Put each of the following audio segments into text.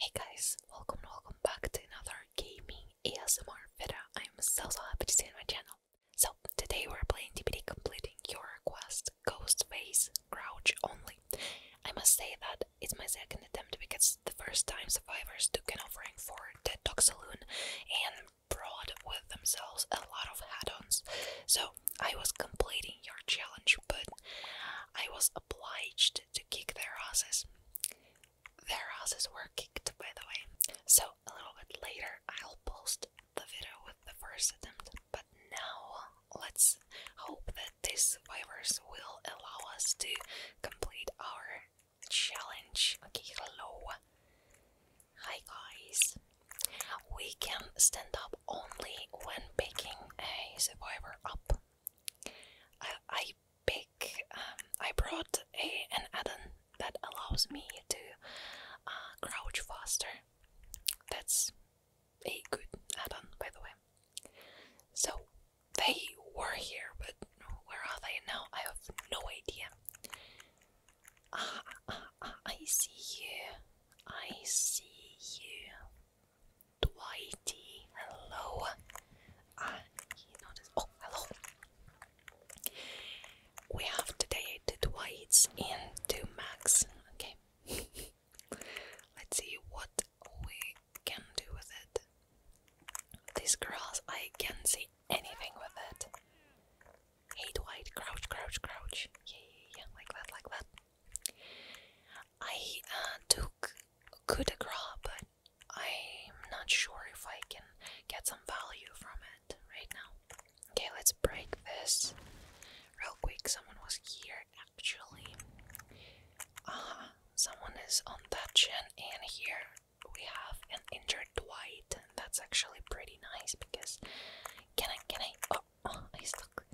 Hey guys, welcome welcome back to another gaming ASMR video. I'm so so happy to see you on my channel. So today we're playing DBD completing your request face Crouch only. I must say that it's my second attempt because the first time survivors took an offering for TED Talk Saloon and brought with themselves a lot of add-ons. So I was completing your challenge, but I was obliged to kick their asses. Their asses were kicked, by the way. So a little bit later, I'll post the video with the first attempt. But now, let's hope that these survivors will allow us to complete our challenge. Okay, hello. Hi guys. We can stand up only when picking a survivor up. I, I pick. Um, I brought a, an add-on that allows me to uh, crouch faster. That's a good add-on, by the way. So they were here, but where are they now? I have no idea. Ah, ah, ah I see you. I see you. Dwighty, hello. Ah, oh, hello. We have today two Dwights and Max. Okay. Let's see what we can do with it. These girls, I can't see anything with it. Hey Dwight, crouch, crouch, crouch. Yeah, yeah, like that, like that. I uh, took coup de but I'm not sure if I can get some value from it right now. Okay, let's break this real quick. Someone was here actually. Ah, someone is on that gen, and here we have an injured Dwight. That's actually pretty nice because can I? Can I? Oh, oh I stuck.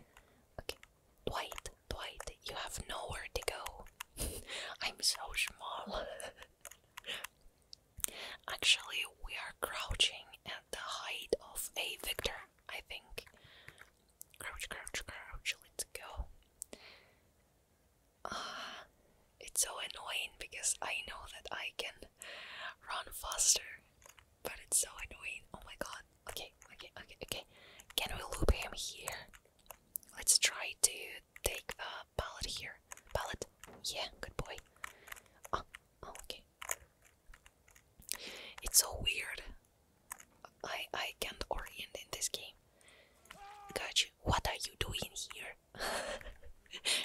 Okay, Dwight, Dwight, you have nowhere to go. I'm so small. Actually, we are crouching at the height of a victor, I think. Crouch, crouch, crouch, let's go. Ah, it's so annoying because I know that I can run faster, but it's so annoying. Oh my god. Okay, okay, okay, okay. Can we loop him here? Let's try to take the pallet here. Pallet? Yeah, good boy. Oh, oh, okay. It's so weird. I I can't orient in this game. Gotcha. What are you doing here?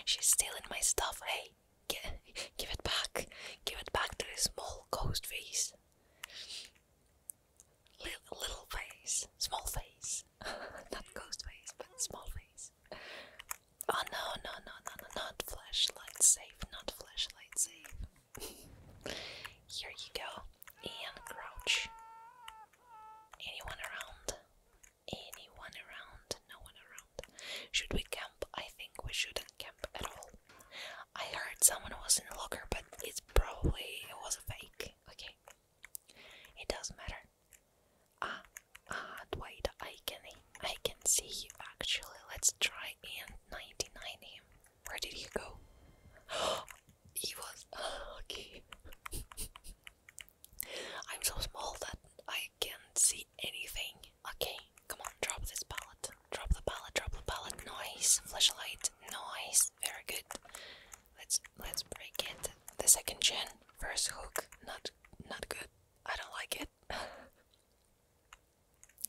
She's stealing my stuff. Hey, give it back. Give it back to the small ghost face little, little face, small face, not ghost face, but small face. Oh no, no, no, no, no, not flashlight safe, not flashlight safe. Here you go, and crouch. Anyone around? Anyone around? No one around. Should we camp? I think we shouldn't camp at all. I heard someone was in the locker, but it's probably it was a fake. Okay, it doesn't matter. Ah, ah, wait, I can, I can see you actually. Let's try and 99 him. Where did he go? he was okay. I'm so small that I can't see anything. Okay, come on, drop this pallet. Drop the palette, drop the palette. Noise. Flashlight. Noise. Very good. Let's let's break it. The second gen. First hook. Not not good. I don't like it.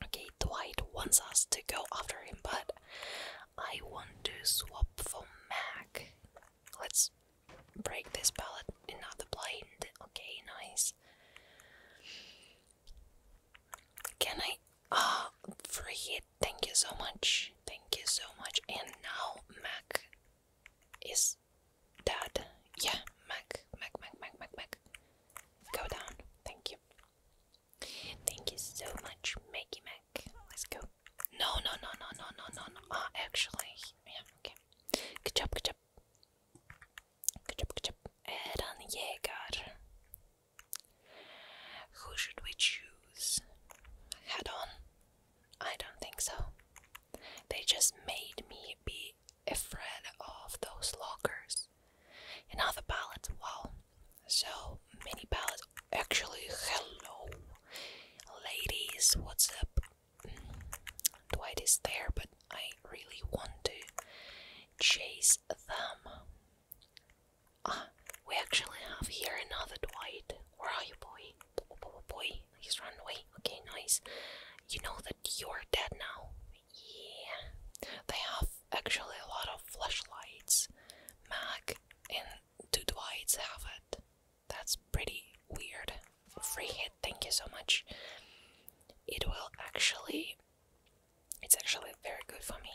okay, Dwight wants us to go after him, but I want to swap for Mac. Let's break this palette. Another blind. Okay, nice. Can I? Ah, oh, free it. Thank you so much. Thank you so much. And now Mac is dead. Yeah, Mac, Mac, Mac, Mac, Mac, Mac. Go down. Thank you. Thank you so much, Maggie Mac. Let's go. No, no, no, no, no, no, no, no. Ah, actually, yeah, okay. Good job, good job. Good job, good job. Eren Jäger. Who should we choose? Head on? I don't think so. They just made me be afraid of those lockers. And other pallets, wow. So many pallets. Actually, hello. Ladies, what's up? Mm, Dwight is there, but I really want to chase them. Ah, we actually have here another Dwight. Where are you, boy? Boy, boy, he's run away. Okay, nice. You know that you're dead now. Yeah. They have actually a lot of flashlights. Mac and two Dwights have it. That's pretty weird. Free hit, thank you so much. It will actually it's actually very good for me.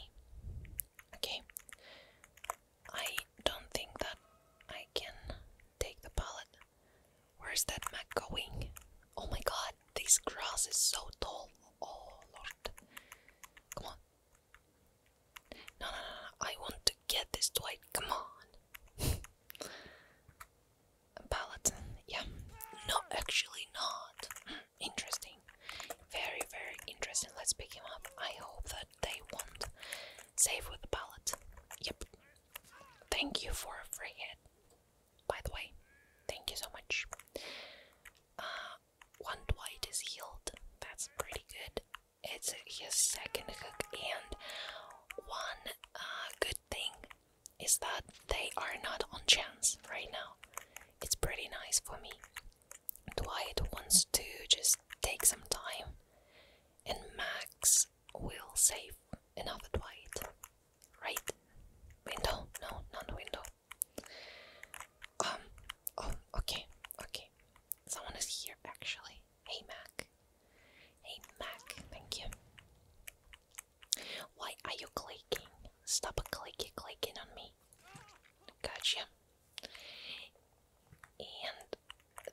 Okay, I don't think that I can take the pallet. Where's that Mac going? Oh my god, this grass is so tall. Oh lord. Come on. No, no, no, I want to get this Dwight. Come on. A Yeah. No, actually not. Interesting. Very, very interesting. Let's pick him up. I hope that they won't save with the pallet. Yep. Thank you for a free hit. By the way, thank you so much. Uh, one Dwight is healed. That's pretty good. It's his second hook and one uh, good thing is that they are not on chance right now. It's pretty nice for me. Dwight wants to just take some time, and Max will save another Dwight. Right? Window? No, not window. Um, oh, okay, okay. Someone is here actually. Hey, Mac. Hey, Mac, thank you. Why are you clicking? Stop clicking, clicking on me. Gotcha. And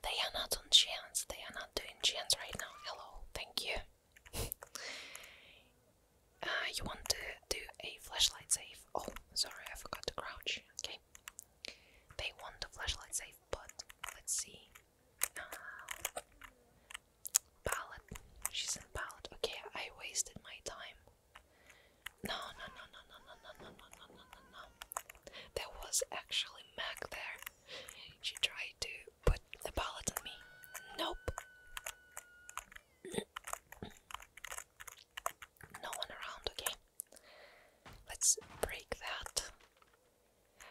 they are not on chance. They are not doing chance right now. Hello, thank you. uh, you want to do a flashlight save? Oh, sorry, I forgot to crouch. Okay. They want a flashlight save, but let's see. Uh, Palette. She's in palette. Okay, I wasted my time. No, no, no, no, no, no, no, no, no, no, no, no. There was actually Mac there. She tried to put the palette on me. Nope. No one around, okay? Let's break that.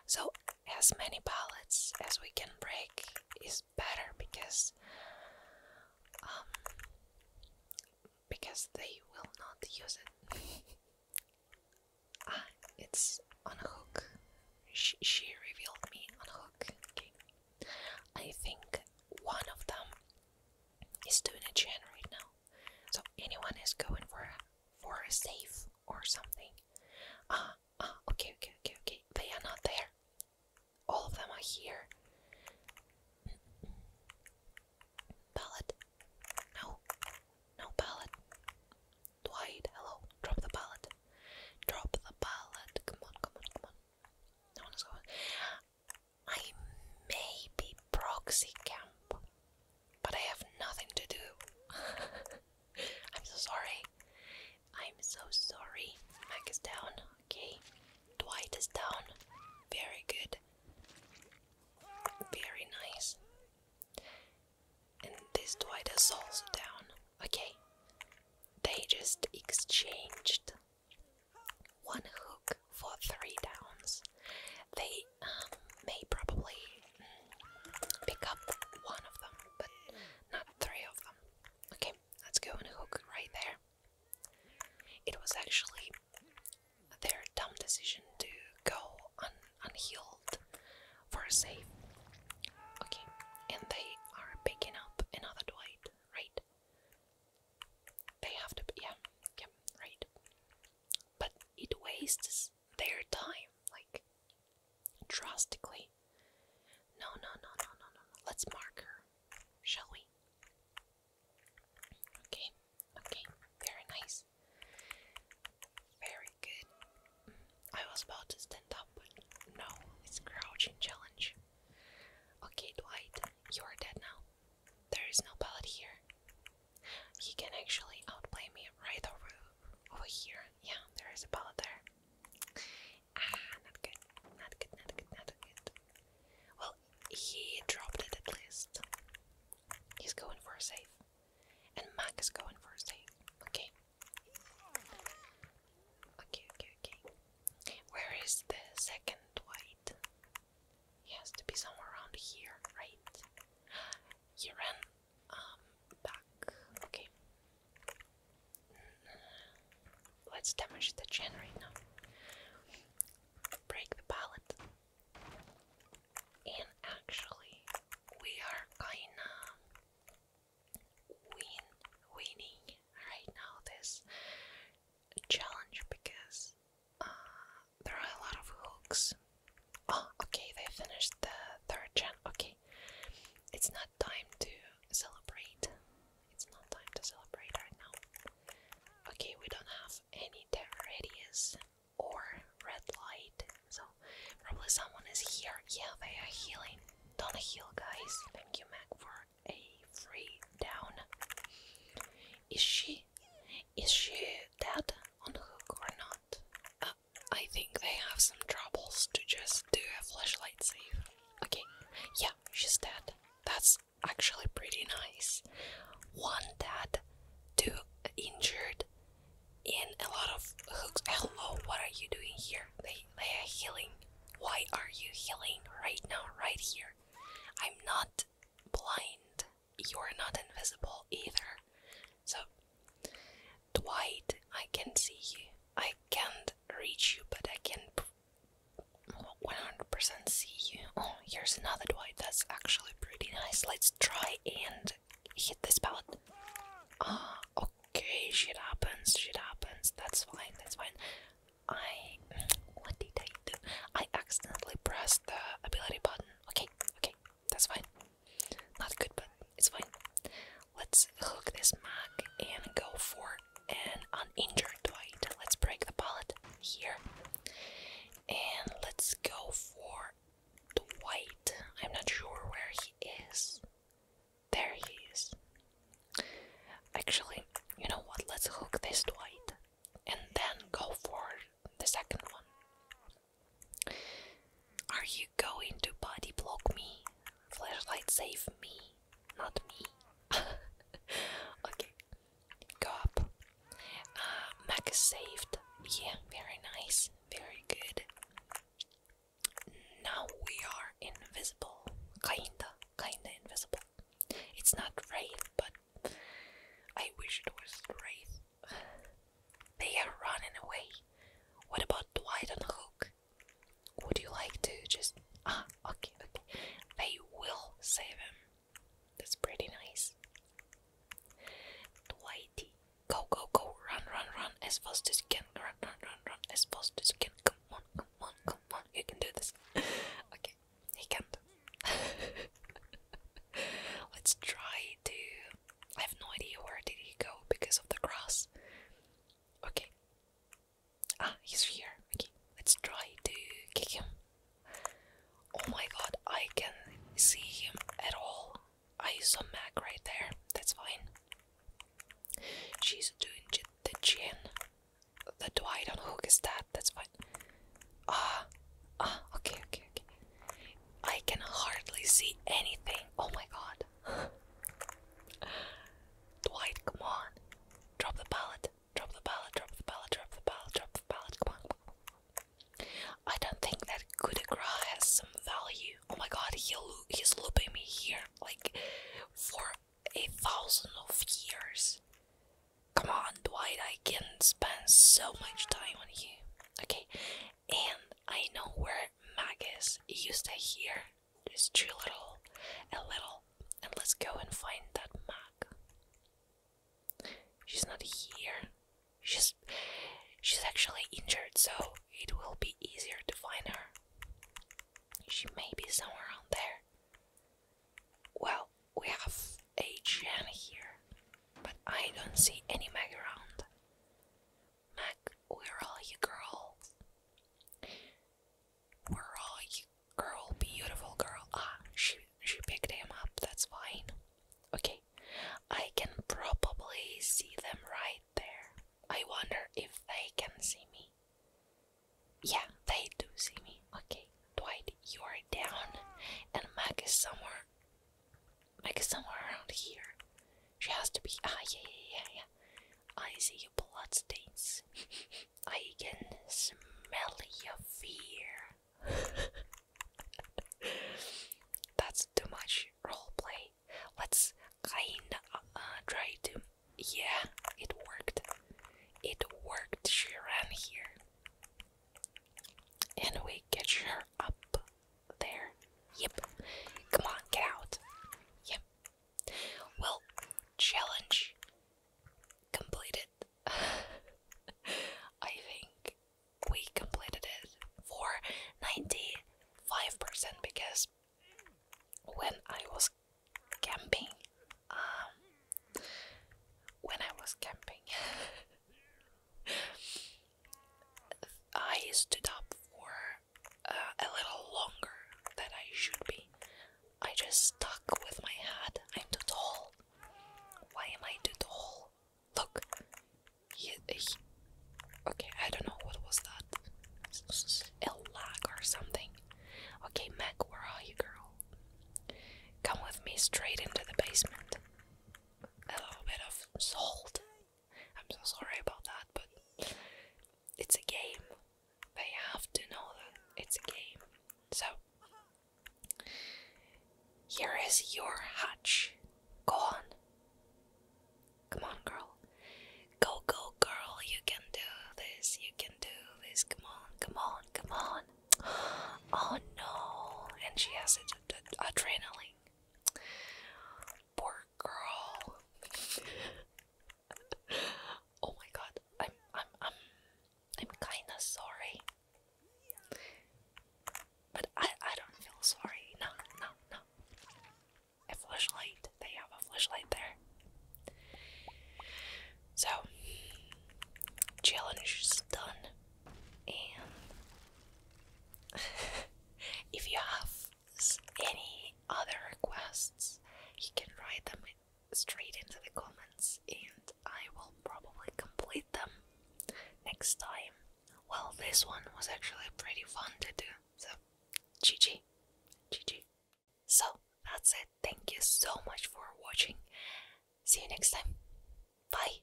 So, as many pallets as we can break is better because um because they will not use it. ah, it's on hook. She, she revealed me on a hook. I think one of them is doing a gen right now. So anyone is going for a, for a safe or something. Ah, ah, okay, okay, okay, okay. They are not there all of them are here. Pallet. No. No pallet. Dwight, hello. Drop the pallet. Drop the pallet. Come on, come on, come on. No one is going. I may be proxy camp, but I have nothing to do. I'm so sorry. I'm so sorry. Mac is down. Okay. Dwight is down. Very good. Very nice. And this Dwight is also down. Okay. They just exchanged one hook for three downs. They um, may probably mm, pick up one of them, but not three of them. Okay, let's go and hook right there. It was actually their dumb decision to go un unhealed for a save. Okay, and they are picking up another Dwight, right? They have to, yeah, yeah, right. But it wastes their time, like drastically. No, no, no, no, no, no, no. Let's mark her, shall we? Okay, okay, very nice. Very good. I was about to stand up, but no, it's crouching challenge. Okay, Dwight, you are dead now. There is no pallet here. He can actually outplay me right over over here. Yeah, there is a pallet there. Ah, not good. Not good, not good, not good. Well, he dropped it at least. He's going for a safe, And Mac is going for a safe. Okay. Okay, okay, Where is the second white? He has to be somewhere around here, right? He ran um, back. Okay. Let's damage the chain right now. Break the pallet. And actually, we are kinda win winning right now this challenge because uh, there are a lot of hooks. Oh, okay, they finished the third gen. Okay it's not time to celebrate. It's not time to celebrate right now. Okay, we don't have any terror radius or red light, so probably someone is here. Yeah, they are healing. Don't heal, guys. Thank you, Mac, for a free down. Is she, is she dead on the hook or not? Uh, I think they have some troubles to just do a flashlight save. Okay, yeah, she's dead. That's actually pretty nice. One dead, two injured, and a lot of hooks. Hello, what are you doing here? They, they are healing. Why are you healing right now, right here? I'm not blind. You're not invisible either. So, Dwight, I can see you. I can't reach you, but I can 100% see you. Oh, here's another Dwight. That's actually pretty nice. Let's try and hit this pallet. Ah, okay. Shit happens. Shit happens. That's fine. That's fine. I. What did I do? I accidentally pressed the ability button. Okay, okay. That's fine. Not good, but it's fine. Let's hook this mag and go for an uninjured Dwight. Let's break the pallet here. And let's go for the Dwight. I'm not sure where he is. There he is. Actually, you know what? Let's hook this Dwight and then go for the second one. Are you going to body block me? Flashlight save me, not me. okay, go up. Uh, Mac is saved. Yeah, very nice, very good. Now we are invisible. Kinda, kinda invisible. It's not Wraith, but I wish it was Wraith. They are running away. What about Dwight and Hook? Would you like to just. Ah, okay, okay. They will save him. That's pretty nice. Dwighty. Go, go, go. Run, run, run. As fast as you can. Run, run, run, run. As fast as you can. Come on, come on, come on. You can do this. okay, he can't. Let's try to I have no idea where did he go because of the grass. Okay. Ah, he's here. Okay, let's try to kick him. Oh my god, I can see him at all. I saw Mac right there. That's fine. She's doing the chin. The Dwight on hook is that. That's fine. Ah, ah, okay, okay, okay. I can hardly see anything. Oh my god. Dwight, come on. Drop the pallet. Drop the pallet. Drop the pallet. Drop the pallet. Drop the pallet. Come on. I don't think that Kudegra has some value. Oh my god, he he's looping me here like for a thousand of years. Come on, Dwight, I can spend so much time on you. Okay, and I know where is used to here. this too little, a little, and let's go and find that mag. She's not here. She's she's actually injured, so it will be easier to find her. She may be somewhere around there. Well, we have a Jan here, but I don't see any mag around. Mac, we are you, girl? Where are you, girl? Beautiful girl. Ah, she she picked him up. That's fine. Okay, I can probably see them right there. I wonder if they can see me. Yeah, they do see me. Okay, Dwight, you are down, and Mac is somewhere like somewhere around here. She has to be. Ah, I see your bloodstains. I can smell your fear. That's too much roleplay. Let's kinda uh, try to. Yeah, it worked. It worked. She ran here. And we catch her up there. Yep. Come on, get out. Yep. Well, challenge completed. I think we completed it for 95% because when I was camping, um, when I was camping, I stood up for uh, a little longer than I should be. I just stuck with my hat. I'm too tall. Why am I too tall? Look. He, okay, I don't know what was that. A lag or something. Okay, Meg, where are you, girl? Come with me straight into the basement. A little bit of salt I'm so sorry about that, but it's a game. They have to know that it's a game. So, here is your hatch. Go on. Come on, girl. Go, go, girl. You can do this. You can do this. Come on, come on, come on. Oh no. And she has to ad adrenaline. Poor girl. oh my god, I'm I'm I'm I'm kinda sorry. But I I don't feel sorry. No, no, no. A flashlight. They have a flashlight there. So challenge is done. And if you have any other requests, you can write them straight into the comments and I will probably complete them next time. Well, this one was actually pretty fun to do, so GG. GG. So, that's it. Thank you so much for watching. See you next time. Bye.